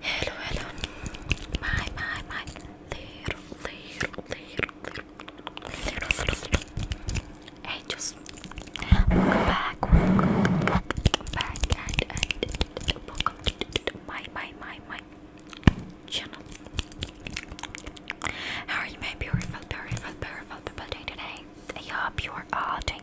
hello, hello, my, my, my, little, little, little, little, little angels, welcome back, welcome back, and, and my, my, my, my channel. How are you, my beautiful, beautiful, beautiful people doing today? I hope you are all doing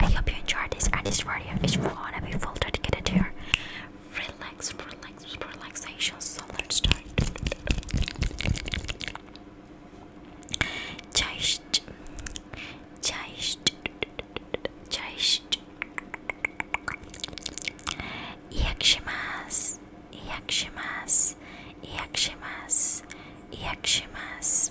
I hope you enjoyed this and this video is gonna be full dedicated to a relax, relax, relaxation. So let's start. Just, just, just. Yakshimas, yakshimas, yakshimas, yakshimas.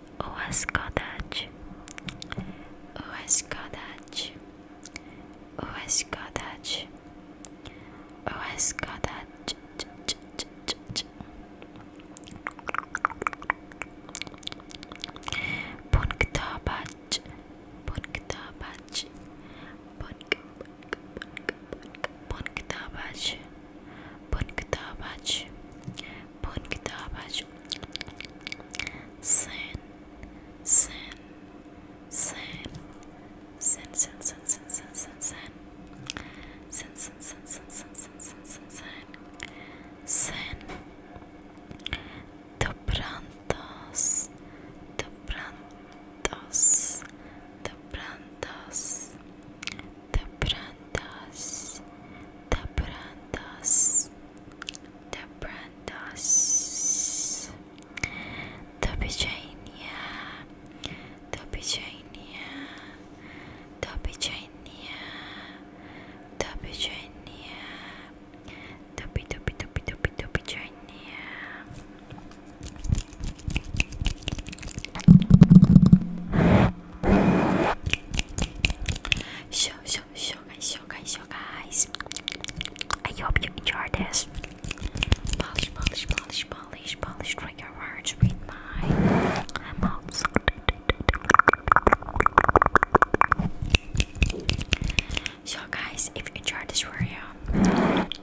o escaldade, o escaldade, o escaldade, o escaldade, Punkto bach, punkto bach, punk, punk, punk, punkto bach, punkto bach, Bom trabalho. Sen, sen, sen, sen, sen, sen, sen, sen, sen, sen, sen, sen, sen, sen, sen, sen, sen, sen, sen. Dobrandos, dobrandos, dobrandos, dobrandos, dobrandos the Brandos, the Virginia, the Virginia, the Virginia, the Virginia, the Virginia. Show, show, so guys so guys so guys I hope you enjoyed this polish polish polish polish polish trigger words with my mouth sound so guys if you enjoyed this video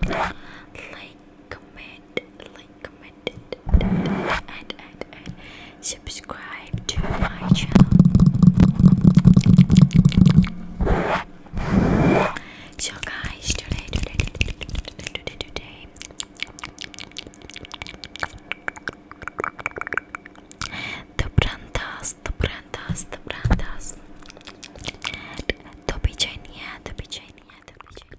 like comment like comment and and and subscribe to my channel. So, guys, today, today, today, today, today, today the brandas, the brandas, the brandas. To pichenia, to pichenia, to pichenia.